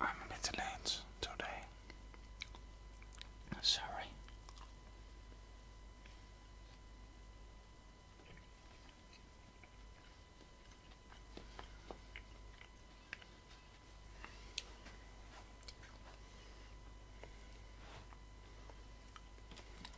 I'm a bit late today. Sorry.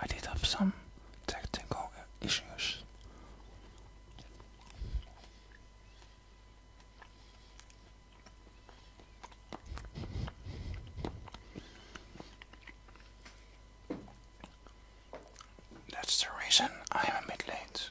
I did have some technical issues. That's the reason I am a bit late.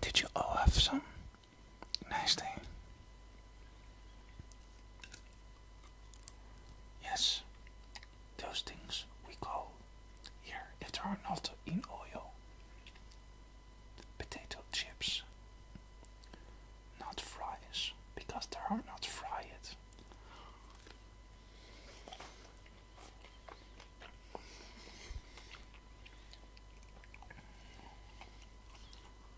Did you all have some? Nice thing. Yes, those things we call here, if they are not in oil, potato chips, not fries, because they are not fried.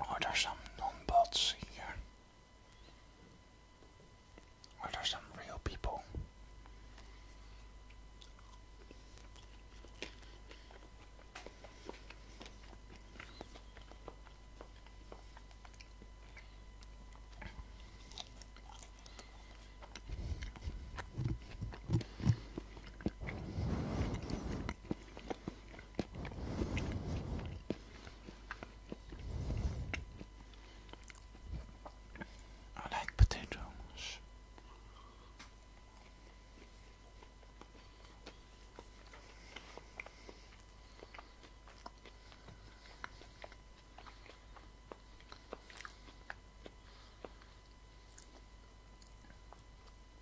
Are there some non-bots here? Are there some real people? I like potatoes.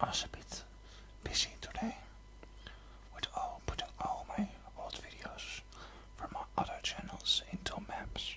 I was a bit busy today with all putting all my old videos from my other channels into maps.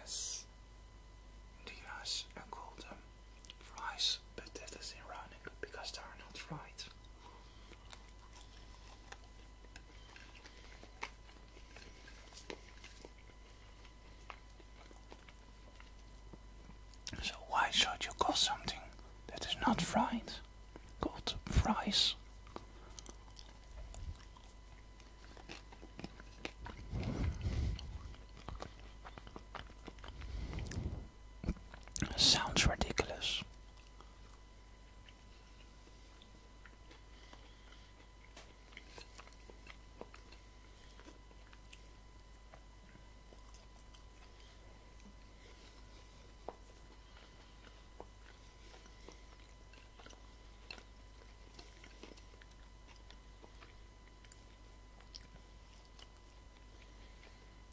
Yes, the US are called um, fries, but that is ironic because they are not fried. So why should you call something that is not fried called fries? Sounds ridiculous.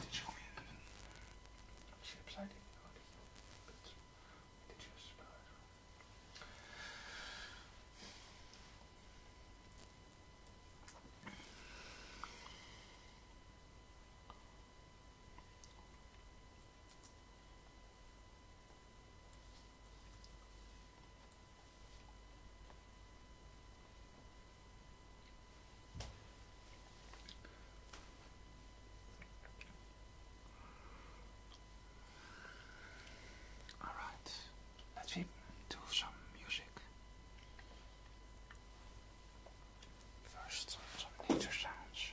Did you mean ships? I didn't notice but did you spell Alright, let's do some music. First, some nature sounds.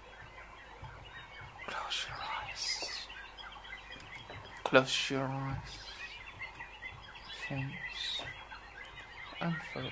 Close your eyes. Close your eyes. Things unfold.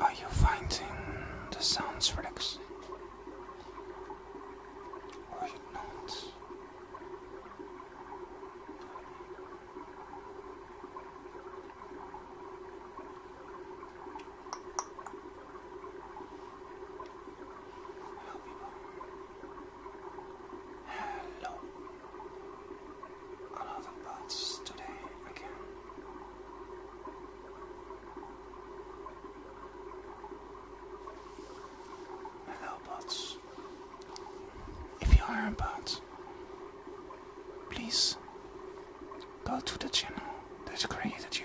Are you finding the sounds relaxing? not? Hello a lot today again. Hello, bots. If you are a bot, please go to the channel that created you.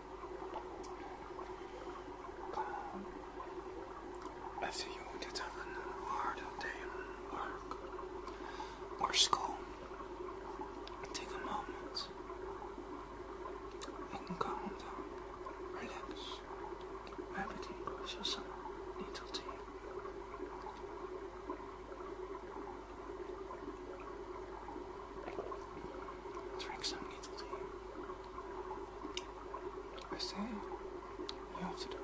Calm. After you did have a hard day in work or school, take a moment and calm down. Relax. Everything goes as a little Drink some needle tea. I say, you have to do it.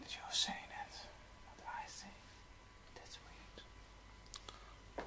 Did you say that? What I That's weird.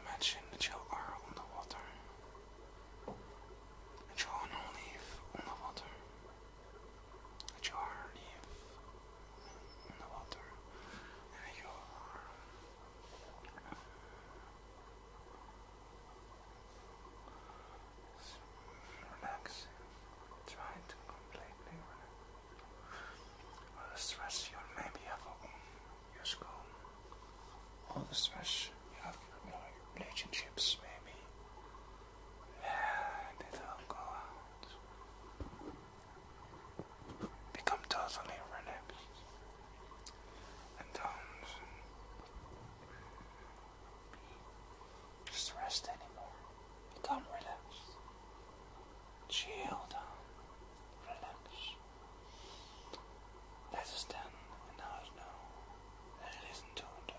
Imagine that you are on the water. That you are on a on the water. That you are a leaf in the water and you are relaxing. to completely relax. All the stress you maybe have your school, all the stress you have in your relationships, maybe. Let it all go out become totally relaxed and don't um, be stressed anymore. Become relaxed. Chill down. Relax. Let us stand and now and listen to the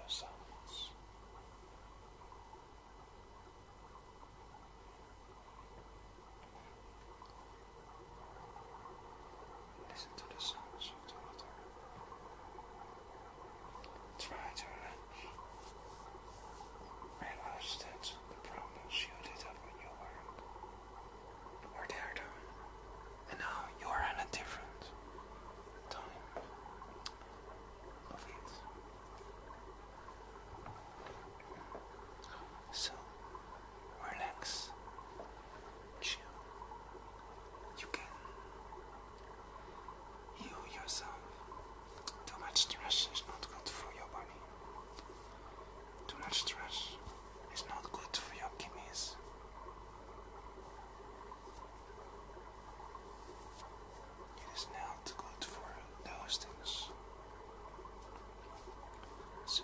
Listen to the sounds of the water. Try to realize that the problems you did when you were, were there And now you are in a different time of it. So relax, chill. You can heal yourself. Too much stress is not good for your body. Too much stress is not good for your kidneys. It is not good for those things. So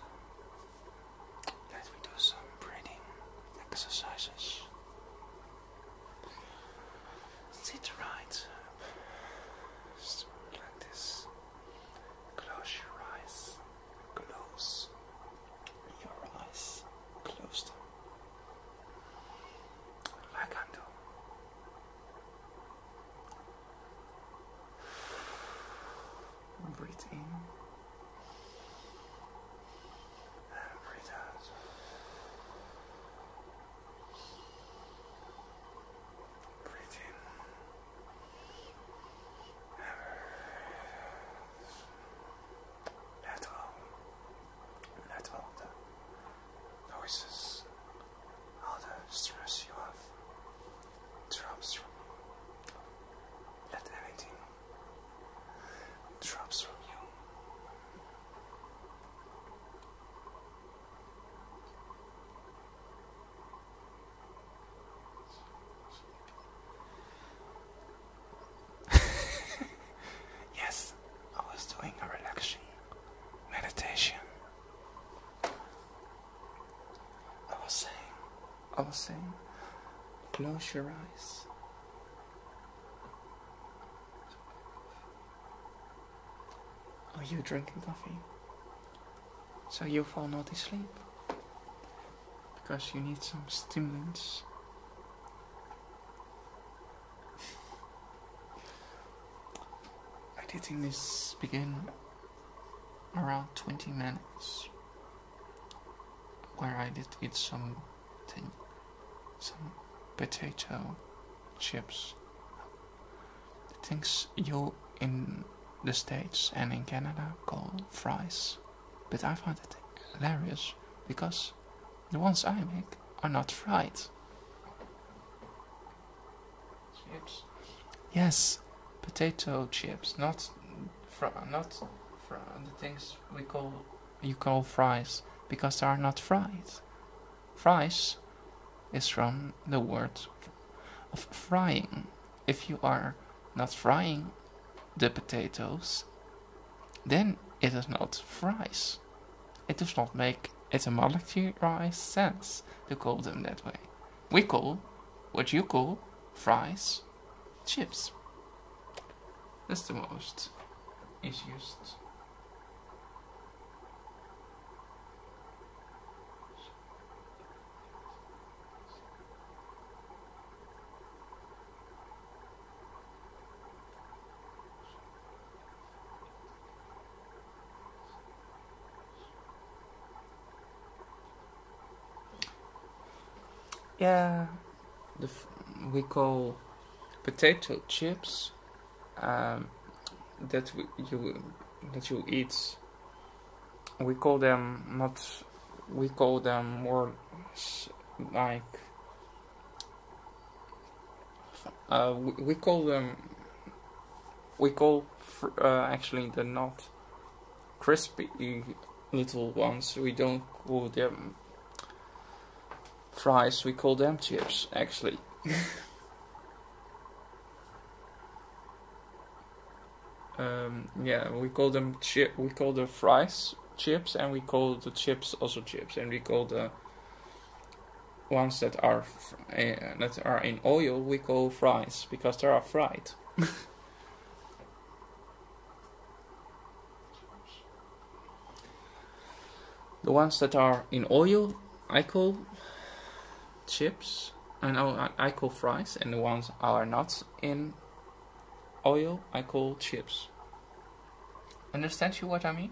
let us do some breathing exercises. Sit right up like this. Close your eyes. Close your eyes. Close them. Like I do. And breathe in. breathe out. Breathe in. Let all, let all the noises all the stress you have drops from you. Let everything drops from you. yes, I was doing a relaxing meditation. I was saying, I was saying, close your eyes. Are you drinking coffee? So you fall not asleep? Because you need some stimulants. I did Editing this begin around 20 minutes where I did eat some some potato chips. things you in the States and in Canada call fries, but I find it hilarious because the ones I make are not fried. Yes, potato chips, not fr not fr the things we call you call fries because they are not fries. Fries is from the word of frying. If you are not frying the potatoes, then it is not fries. It does not make etymologically sense to call them that way we call what you call fries chips. That's the most easiest. Yeah, we call potato chips um, that you that you eat. We call them not. We call them more like. Uh, we call them we call uh, actually the not crispy little ones. We don't call them fries. We call them chips actually. Um, yeah, we call them chip. We call the fries chips, and we call the chips also chips, and we call the ones that are eh, that are in oil we call fries because they are fried. the ones that are in oil I call chips and I call fries and the ones that are not in oil I call chips. Understand you what I mean?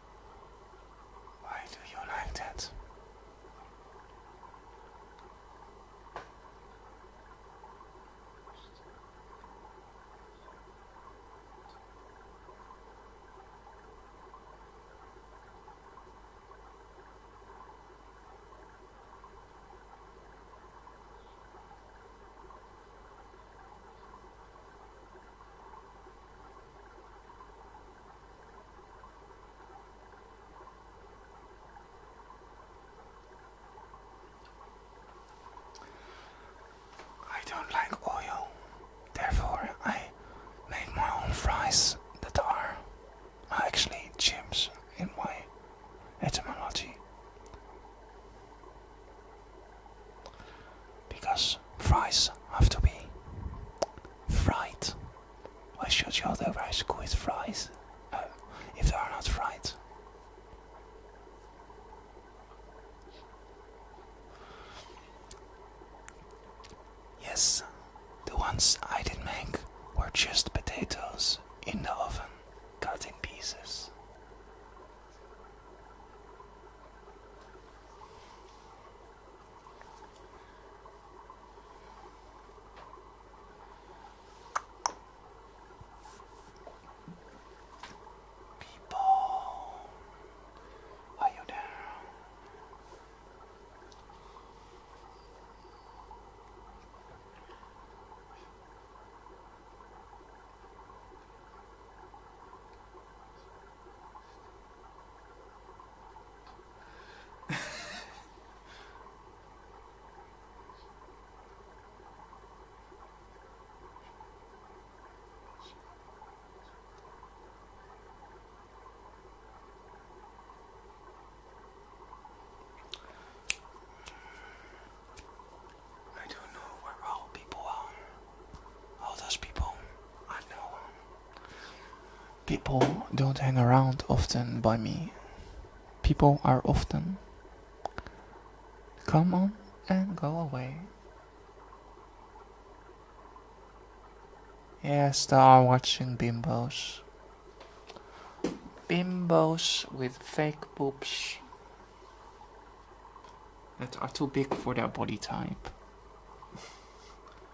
Why do you like that? I don't like oil, therefore, I make my own fries that are actually chips in my etymology because fries have to be fried. Why should you order rice with fries oh, if they are not fried? Yes, the ones I did make were just potatoes in the oven, cut in pieces. People, are you down? I don't know where all people are. All those people I know. People don't hang around often by me. People are often come on and go away. Yes, they are watching bimbos. Bimbos with fake boobs that are too big for their body type.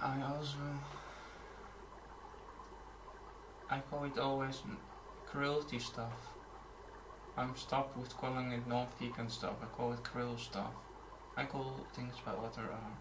I also I call it always cruelty stuff. I'm stopped with calling it non-vegan stuff. I call it cruel stuff. I call things by what they are.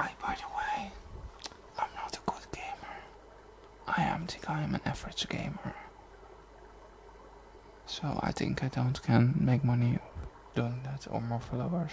Hey, by the way, I'm not a good gamer. I am think I am an average gamer. So I think I don't can make money doing that or more followers.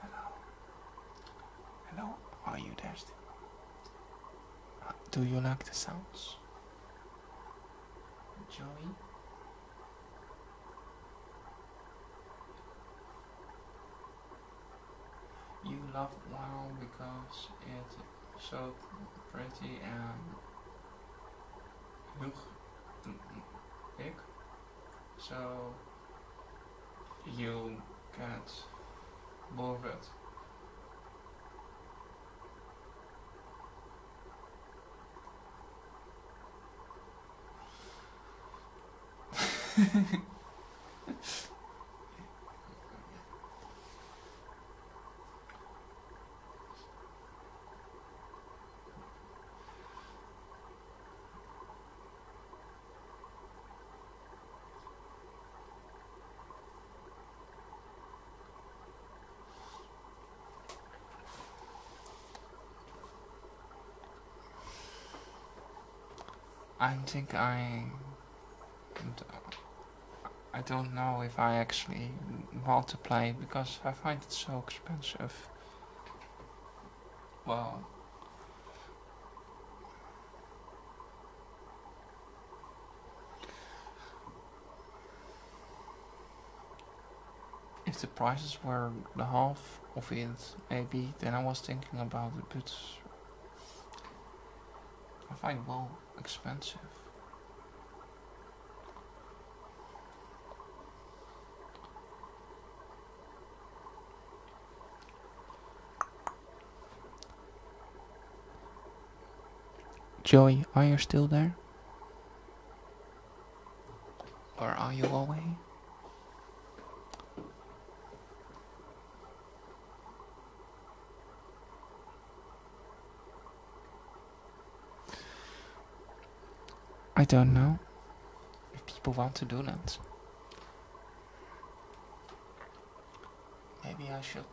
Hello. Hello, are you there still? do you like the sounds? Joey? You love WoW because it's so pretty and look mm, mm, big so you can move it. I think I... I don't know if I actually want to play because I find it so expensive. Wow. If the prices were the half of it, maybe, then I was thinking about it, but I find it expensive. Joey, are you still there? Or are you away? I don't know if people want to do that. Maybe I should.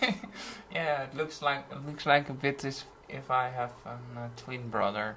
yeah, it looks like it looks like a bit as if I have a uh, twin brother.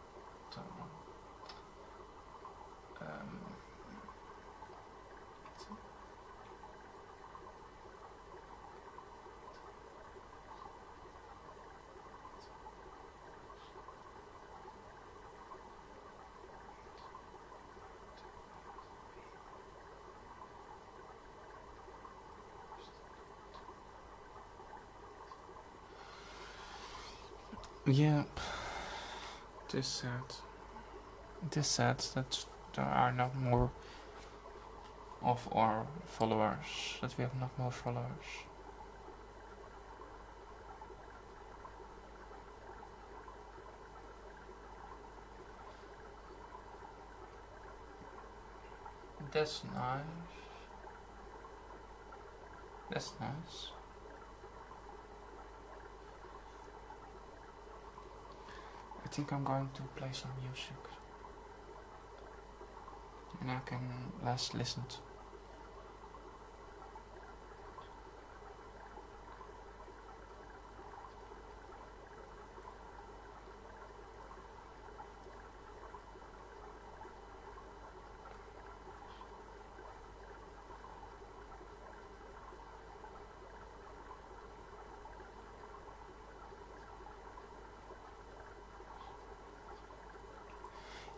Don't So, um, yeah, it is sad. It is sad that there are not more of our followers, that we have not more followers. That's nice. That's nice. I think I'm going to play some music. And I can last listen to.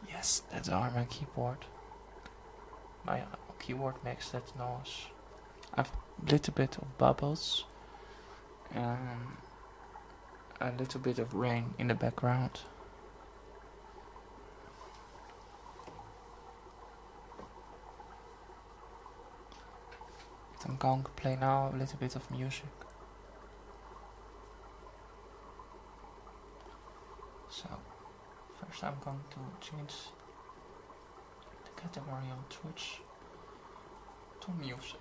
Yes, that's our my keyboard. My uh, keyboard makes that noise. I've a little bit of bubbles. Um, a little bit of rain in the background. I'm going to play now a little bit of music. So, first I'm going to change the category on Twitch to music.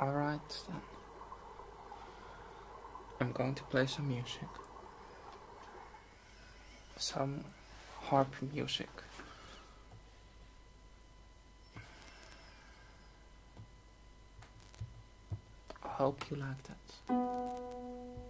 Alright then. I'm going to play some music. Some harp music. I hope you like that.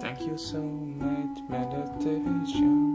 Thank you so much, meditation.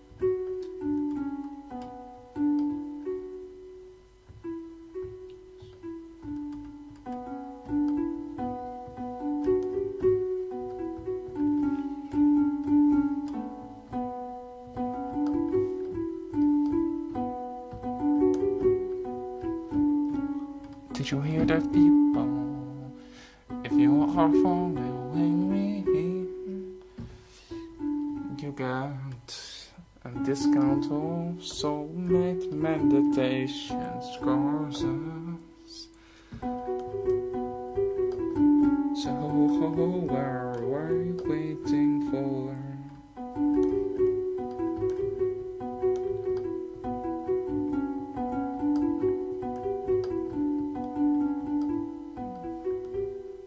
Did you hear that people? If you are following me, you got a discount of soulmate meditation courses. So where are you waiting for?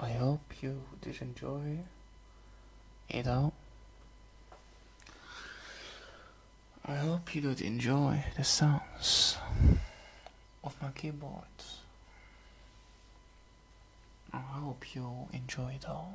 I hope you did enjoy it all. I hope you did enjoy the sounds of my keyboard. I hope you enjoy it all.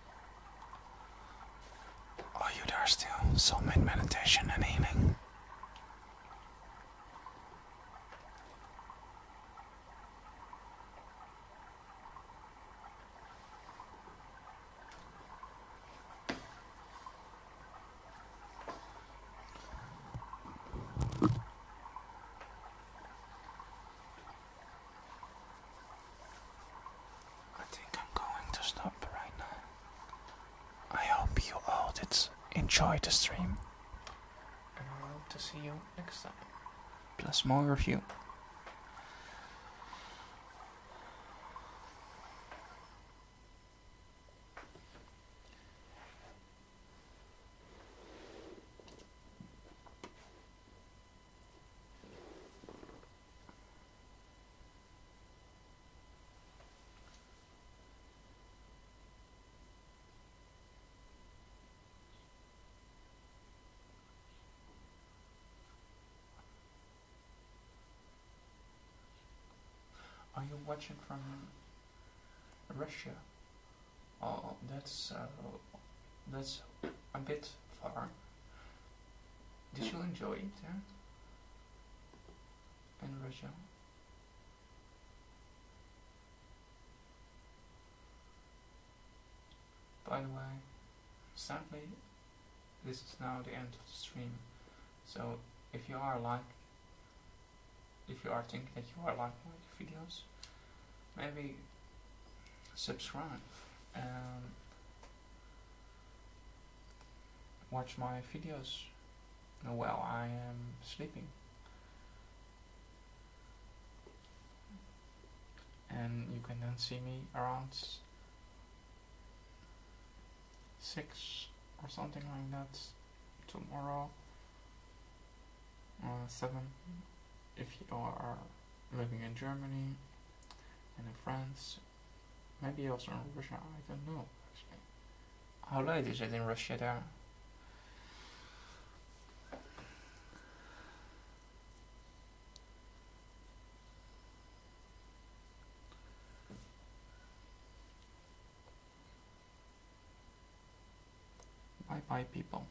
Are oh, you there still? Soul made meditation and healing. I think I'm going to stop right now. I hope you all did enjoy the stream. And I hope to see you next time. Plus more review. Are you watching from Russia? Oh, that's uh, that's a bit far. Did you enjoy it there? In Russia? By the way, sadly, this is now the end of the stream. So, if you are like, if you are thinking that you are like my videos, maybe subscribe. Um, watch my videos while I am sleeping. And you can then see me around 6 or something like that tomorrow uh, 7 if you are living in Germany and in France Maybe also in Russia, I don't know actually. How late is it in Russia there? Bye bye people.